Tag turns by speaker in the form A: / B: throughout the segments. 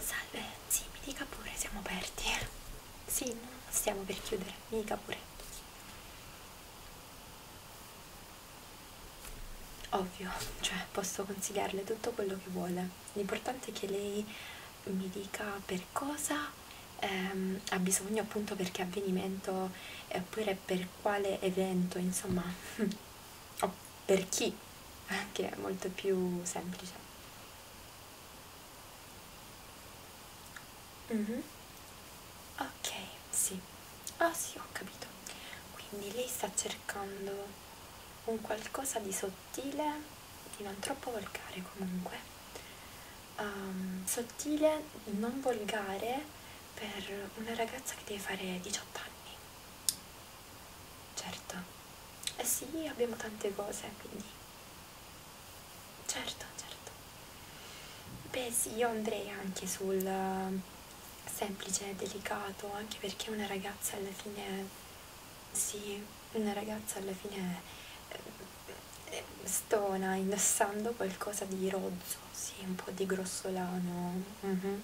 A: Salve, sì, mi dica pure, siamo aperti. Sì, no, stiamo per chiudere, mi dica pure ovvio, cioè posso consigliarle tutto quello che vuole, l'importante è che lei mi dica per cosa ehm, ha bisogno appunto per che avvenimento oppure per quale evento, insomma, o per chi, che è molto più semplice. Mm -hmm ok sì ah sì ho capito quindi lei sta cercando un qualcosa di sottile di non troppo volgare comunque um, sottile non volgare per una ragazza che deve fare 18 anni certo eh sì abbiamo tante cose quindi certo certo Beh sì, io andrei anche sul eh, semplice, delicato, anche perché una ragazza alla fine, sì, una ragazza alla fine eh, eh stona indossando qualcosa di rozzo, sì, un po' di grossolano, mm -hmm.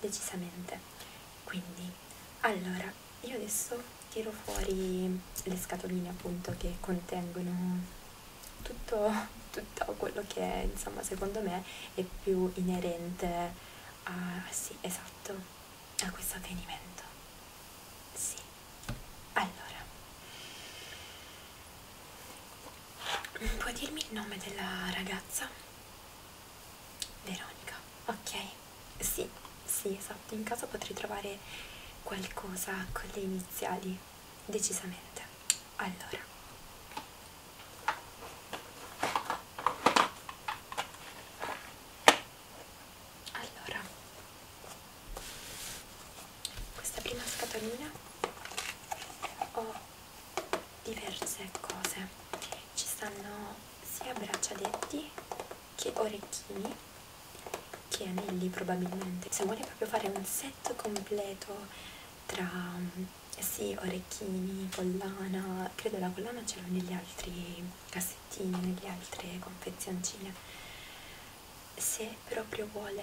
A: decisamente. Quindi, allora, io adesso tiro fuori le scatoline appunto che contengono tutto, tutto quello che è, insomma secondo me è più inerente a, sì, esatto, a questo avvenimento. Sì, allora, puoi dirmi il nome della ragazza? Veronica, ok, sì, sì, esatto, in caso potrei trovare qualcosa con le iniziali decisamente allora allora questa prima scatolina ho diverse cose ci stanno sia braccialetti che orecchini che anelli probabilmente se vuole proprio fare un set completo tra sì, orecchini, collana, credo la collana ce l'ho negli altri cassettini, nelle altre confezioncine. Se proprio vuole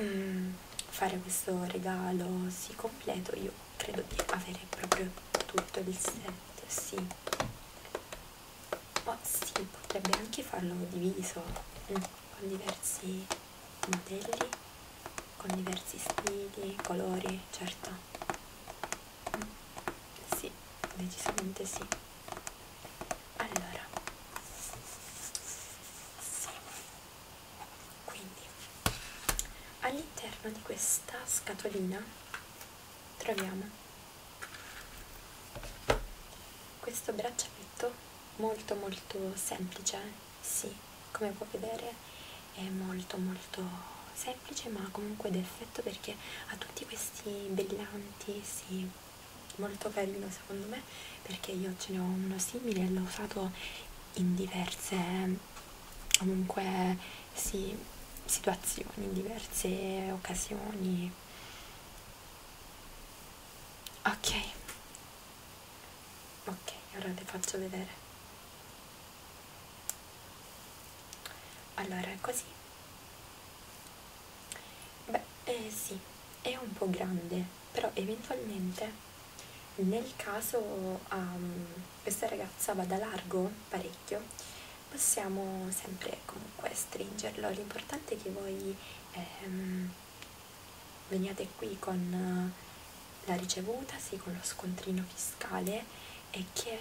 A: mm, fare questo regalo sì completo, io credo di avere proprio tutto il set, sì. Ma oh, sì, potrebbe anche farlo diviso mm, con diversi puntelli con diversi stili, colori, certo. Sì, decisamente sì. Allora, sì. Quindi, all'interno di questa scatolina troviamo questo braccialetto molto molto semplice, sì, come puoi vedere è molto molto semplice ma comunque d'effetto perché ha tutti questi brillanti, sì, molto carino secondo me perché io ce ne ho uno simile e l'ho usato in diverse comunque sì, situazioni, in diverse occasioni ok ok ora vi faccio vedere allora è così beh eh, sì è un po' grande però eventualmente nel caso um, questa ragazza vada largo parecchio possiamo sempre comunque stringerlo l'importante è che voi ehm, veniate qui con eh, la ricevuta, sì, con lo scontrino fiscale e che,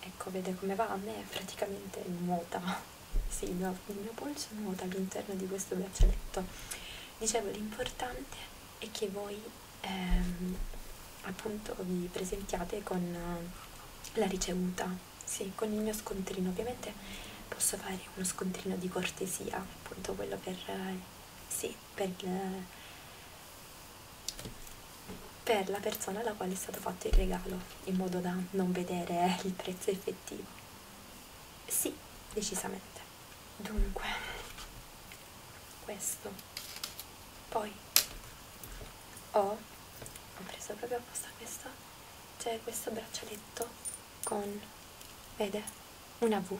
A: ecco, vede come va, a me praticamente nuota, sì, il mio, il mio polso nuota all'interno di questo braccialetto. Dicevo, l'importante è che voi, ehm, appunto, vi presentiate con eh, la ricevuta, sì, con il mio scontrino, ovviamente posso fare uno scontrino di cortesia appunto quello per, eh, sì, per, eh, per la persona alla quale è stato fatto il regalo, in modo da non vedere eh, il prezzo effettivo. Sì, decisamente. Dunque, questo. Poi ho, ho preso proprio apposta questa, c'è cioè questo braccialetto con, vede, una V.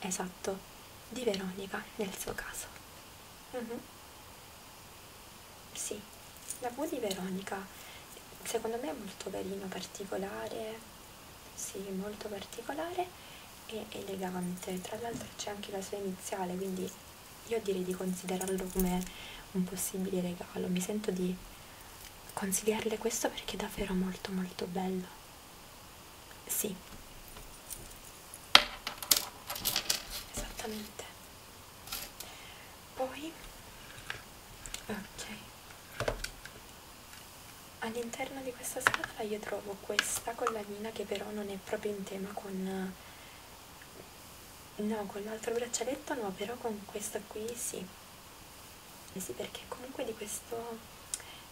A: Esatto, di Veronica nel suo caso. Uh mm-hmm. -huh. Sì, la V di Veronica secondo me è molto carino, particolare, sì, molto particolare e elegante. Tra l'altro c'è anche la sua iniziale, quindi io direi di considerarlo come un possibile regalo. Mi sento di consigliarle questo perché è davvero molto molto bello sì esattamente poi ok all'interno di questa scatola io trovo questa collanina che però non è proprio in tema con no con l'altro braccialetto no però con questa qui sì eh sì perché comunque di questo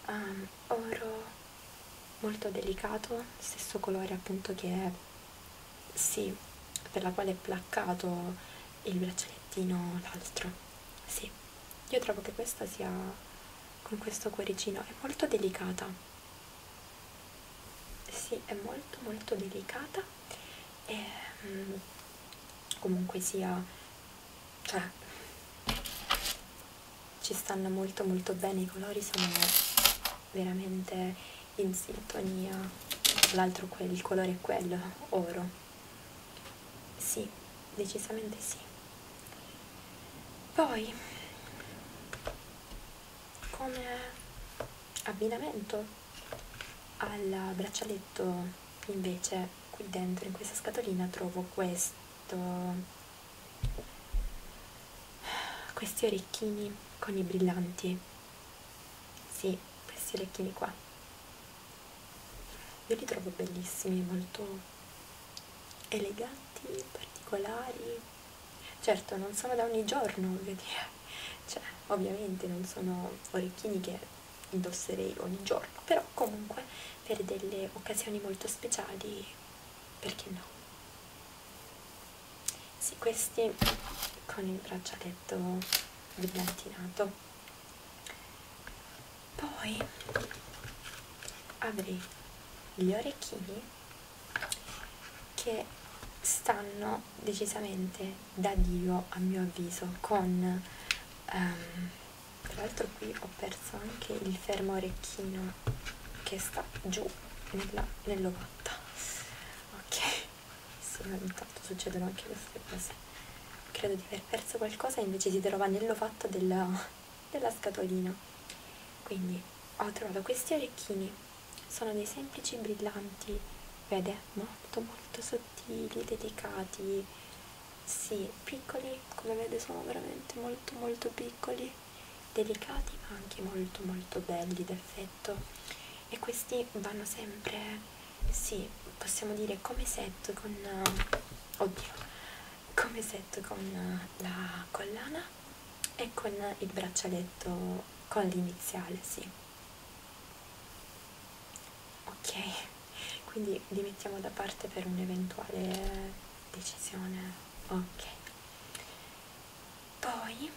A: um, oro molto delicato stesso colore appunto che sì per la quale è placcato il braccialettino l'altro sì io trovo che questa sia con questo cuoricino è molto delicata sì è molto molto delicata e um, comunque sia cioè ci stanno molto molto bene i colori sono veramente in sintonia tra l'altro il colore è quello oro sì decisamente sì poi come abbinamento al braccialetto invece qui dentro in questa scatolina trovo questo questi orecchini con i brillanti sì questi orecchini qua io li trovo bellissimi molto eleganti particolari certo non sono da ogni giorno voglio dire cioè ovviamente non sono orecchini che indosserei ogni giorno, però comunque per delle occasioni molto speciali, perché no? Sì, questi con il braccialetto brillantinato. Poi avrei gli orecchini che stanno decisamente da Dio a mio avviso con um, tra l'altro qui ho perso anche il fermo orecchino che sta giù nell'ovatta nell ok sì ogni tanto succedono anche queste cose credo di aver perso qualcosa e invece si trova nell'ovatta della, della scatolina quindi ho trovato questi orecchini sono dei semplici brillanti vede? no? molto molto sottili, delicati, sì, piccoli, come vede sono veramente molto molto piccoli, delicati ma anche molto molto belli d'effetto e questi vanno sempre, sì, possiamo dire come set con, uh, oddio, come set con uh, la collana e con il braccialetto con l'iniziale, sì ok quindi li mettiamo da parte per un'eventuale decisione ok poi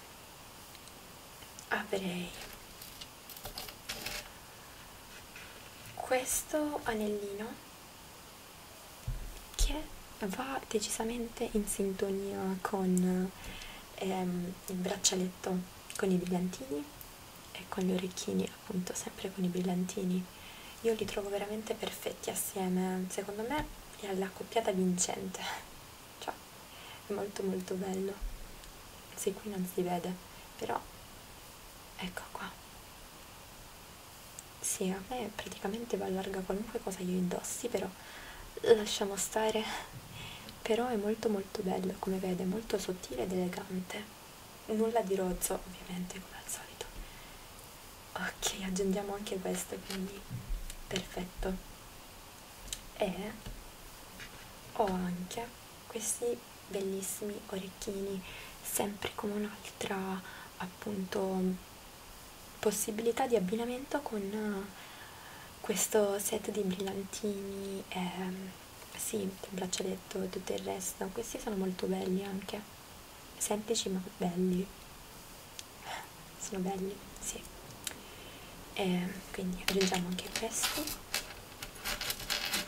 A: avrei questo anellino che va decisamente in sintonia con ehm, il braccialetto con i brillantini e con gli orecchini appunto sempre con i brillantini io li trovo veramente perfetti assieme secondo me è la coppiata vincente cioè è molto molto bello se qui non si vede però ecco qua sì a me praticamente va larga qualunque cosa io indossi però lasciamo stare però è molto molto bello come vede molto sottile ed elegante nulla di rozzo ovviamente come al solito ok aggiungiamo anche questo quindi perfetto e ho anche questi bellissimi orecchini sempre come un'altra appunto possibilità di abbinamento con eh, questo set di brillantini e ehm, sì, il braccialetto e tutto il resto, questi sono molto belli anche, semplici ma belli, sono belli, sì, e eh, quindi aggiungiamo anche questi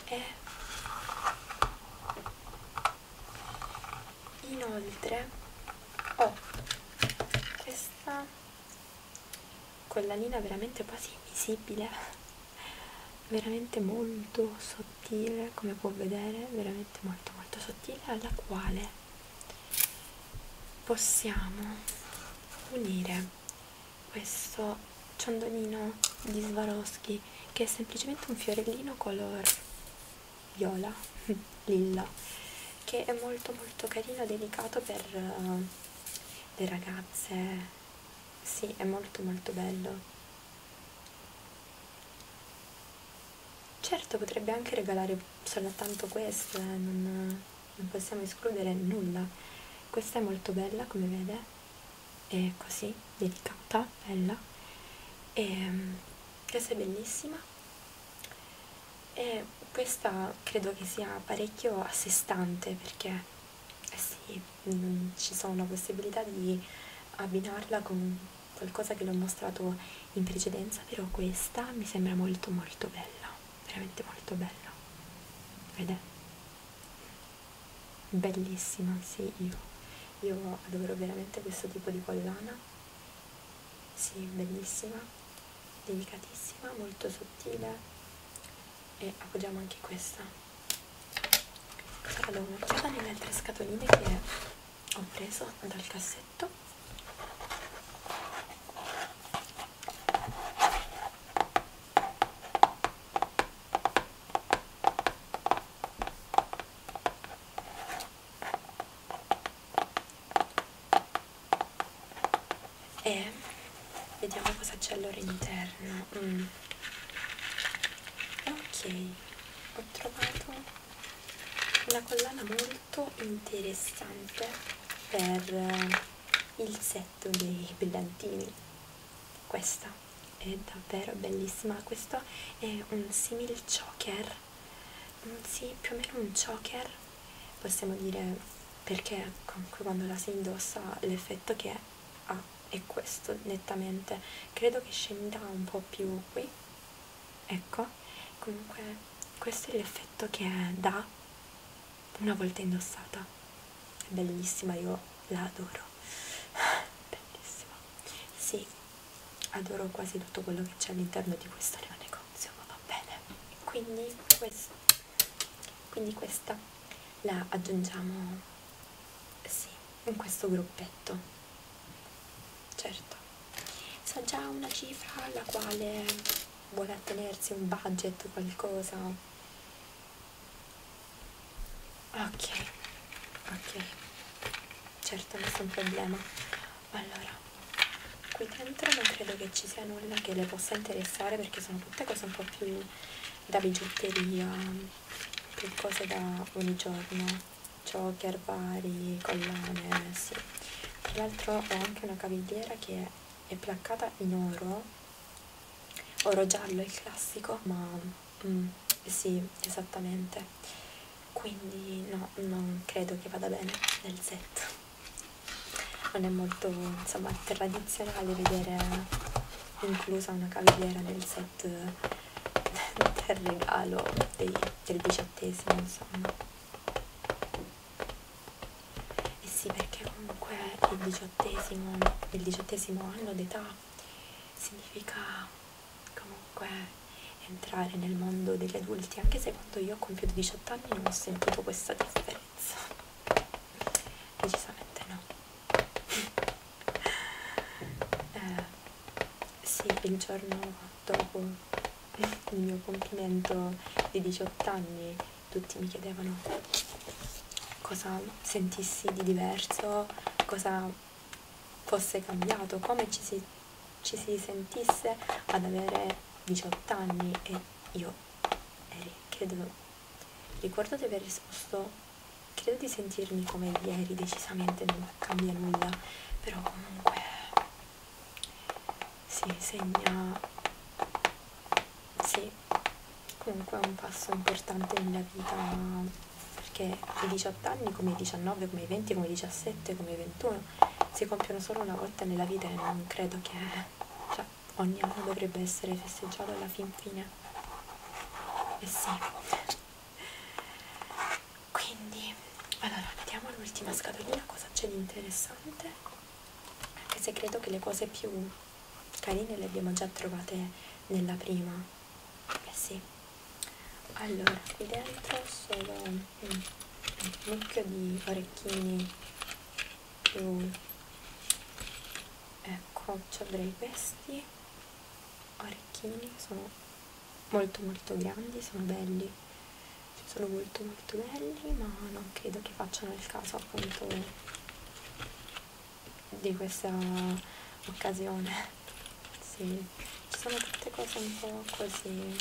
A: e inoltre ho oh, questa collanina veramente quasi invisibile veramente molto sottile come può vedere veramente molto molto sottile alla quale possiamo unire questo ciondolino di Swarovski che è semplicemente un fiorellino color viola lilla che è molto molto carino delicato per uh, le ragazze sì è molto molto bello certo potrebbe anche regalare soltanto questo eh, non, non possiamo escludere nulla questa è molto bella come vede è così delicata bella e ehm, questa è bellissima e questa credo che sia parecchio a sé stante perché eh sì, mh, mm, ci sono la possibilità di abbinarla con qualcosa che l'ho mostrato in precedenza, però questa mi sembra molto molto bella, veramente molto bella. Vedete? Bellissima, sì, io. Io adoro veramente questo tipo di collana. Sì, bellissima, delicatissima, molto sottile, e appoggiamo anche questa allora do un'occhiata nelle altre scatoline che ho preso dal cassetto e vediamo cosa c'è all'interno mm. ok ho trovato una collana molto interessante per eh, il set dei brillantini questa è davvero bellissima questo è un simil choker mm, sì, più o meno un choker possiamo dire perché comunque quando la si indossa l'effetto che ha è questo nettamente credo che scenderà un po' più qui ecco comunque questo è l'effetto che dà una volta indossata è bellissima io la adoro bellissima sì adoro quasi tutto quello che c'è all'interno di questo negozio ma va bene quindi questo quindi questa la aggiungiamo sì in questo gruppetto certo so già una cifra alla quale vuole attenersi un budget o qualcosa ok ok certo nessun problema allora qui dentro non credo che ci sia nulla che le possa interessare perché sono tutte cose un po' più da bigiotteria per cose da ogni giorno choker, bari, collane sì. tra l'altro ho anche una cavigliera che è placcata in oro oro giallo è il classico ma mm, sì esattamente quindi no non credo che vada bene nel set non è molto insomma tradizionale vedere inclusa una cavigliera nel set del regalo dei, del diciottesimo insomma e eh sì perché comunque il diciottesimo il diciottesimo anno d'età significa comunque entrare nel mondo degli adulti anche se quando io ho compiuto 18 anni non ho sentito questa differenza decisamente no eh, sì il giorno dopo il mio compimento di 18 anni tutti mi chiedevano cosa sentissi di diverso cosa fosse cambiato come ci si, ci si sentisse ad avere 18 anni e io eri, credo Ricordo di aver risposto, credo di sentirmi come ieri, decisamente non cambia nulla, però comunque si segna, sì, comunque è un passo importante nella vita perché i 18 anni, come i 19, come i 20, come i 17, come i 21, si compiono solo una volta nella vita e non credo che... cioè, ogni anno dovrebbe essere festeggiato alla fin fine e eh sì quindi allora vediamo l'ultima scatolina cosa c'è di interessante anche se credo che le cose più carine le abbiamo già trovate nella prima eh sì allora qui dentro solo un mucchio di orecchini più mm. ecco c'è delle vesti orecchini sono molto molto grandi sono belli sono molto molto belli ma non credo che facciano il caso appunto di questa occasione sì ci sono tutte cose un po' così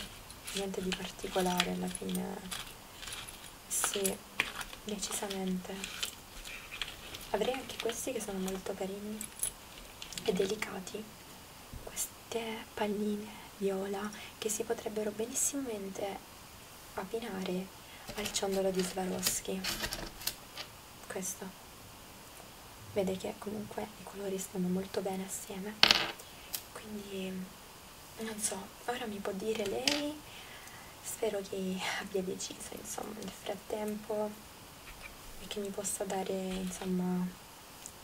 A: niente di particolare alla fine sì, decisamente. Avrei anche questi che sono molto carini e delicati. Queste palline viola che si potrebbero benissimamente abbinare al ciondolo di Swarovski. Questo. Vede che comunque i colori stanno molto bene assieme. Quindi non so, ora mi può dire lei, spero che abbia deciso insomma nel frattempo e che mi possa dare insomma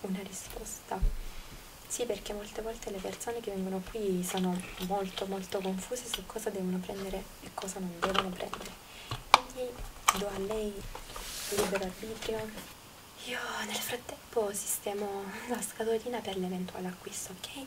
A: una risposta. Sì, perché molte volte le persone che vengono qui sono molto molto confuse su cosa devono prendere e cosa non devono prendere. Quindi do a lei libero arbitrio. Io nel frattempo sistemo la scatolina per l'eventuale acquisto, ok?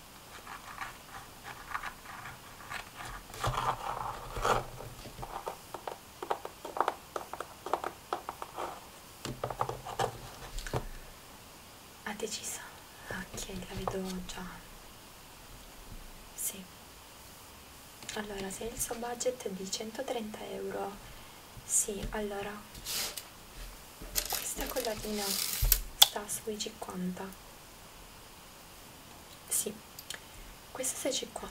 A: Ha deciso? Ok, la vedo già. Sì. Allora, se il suo budget è di 130 euro, sì, allora questa collatina sta sui 50 sì questa è 6,50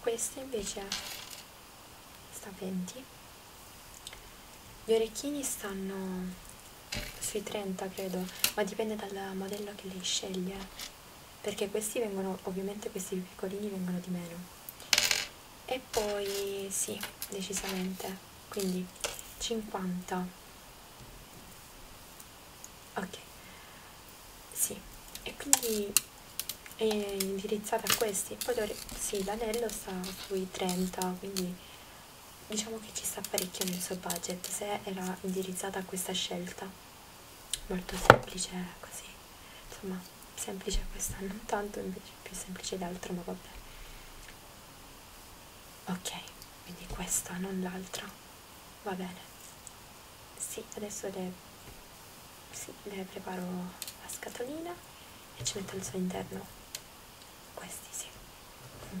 A: questa invece sta a 20 gli orecchini stanno sui 30 credo ma dipende dal modello che lei sceglie perché questi vengono ovviamente questi piccolini vengono di meno e poi sì decisamente quindi 50 ok sì e quindi è indirizzata a questi poi sì l'anello sta sui 30 quindi diciamo che ci sta parecchio nel suo budget se era indirizzata a questa scelta molto semplice così insomma semplice questa non tanto invece più semplice l'altro ma vabbè ok quindi questa non l'altra va bene sì adesso le, sì, le preparo la scatolina e ci metto al suo interno questi sì mm.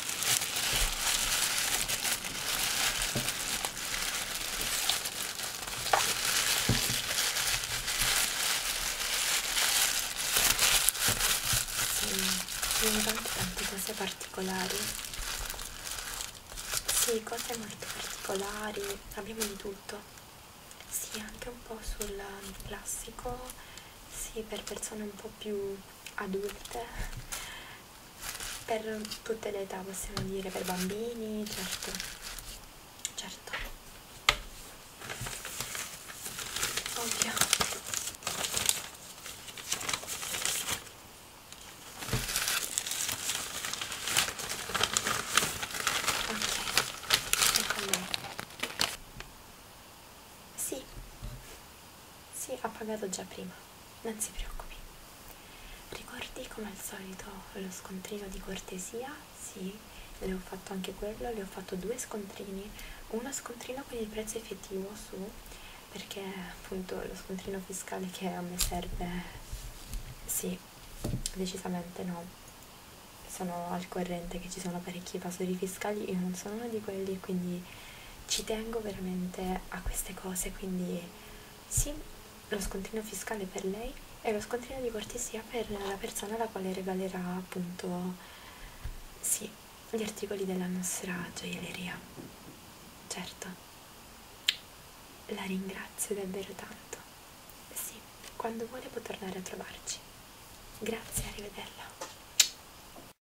A: Sì, tante, tante cose particolari. Sì, cose molto particolari, abbiamo di tutto. Sì, anche un po' sul classico, sì, per persone un po' più adulte per tutte le età possiamo dire per bambini certo certo ovvio ok ecco sì sì, ha pagato già prima, non si preoccupi. Ricordi come al solito lo scontrino di cortesia? Sì, ne ho fatto anche quello, le ho fatto due scontrini, uno scontrino con il prezzo effettivo su, perché appunto lo scontrino fiscale che a me serve, sì, decisamente no. Sono al corrente che ci sono parecchi evasori fiscali, io non sono uno di quelli, quindi ci tengo veramente a queste cose quindi sì lo scontrino fiscale per lei e lo scontrino di cortesia per la persona alla quale regalerà appunto sì gli articoli della nostra gioielleria certo la ringrazio davvero tanto sì quando vuole può tornare a trovarci grazie arrivederla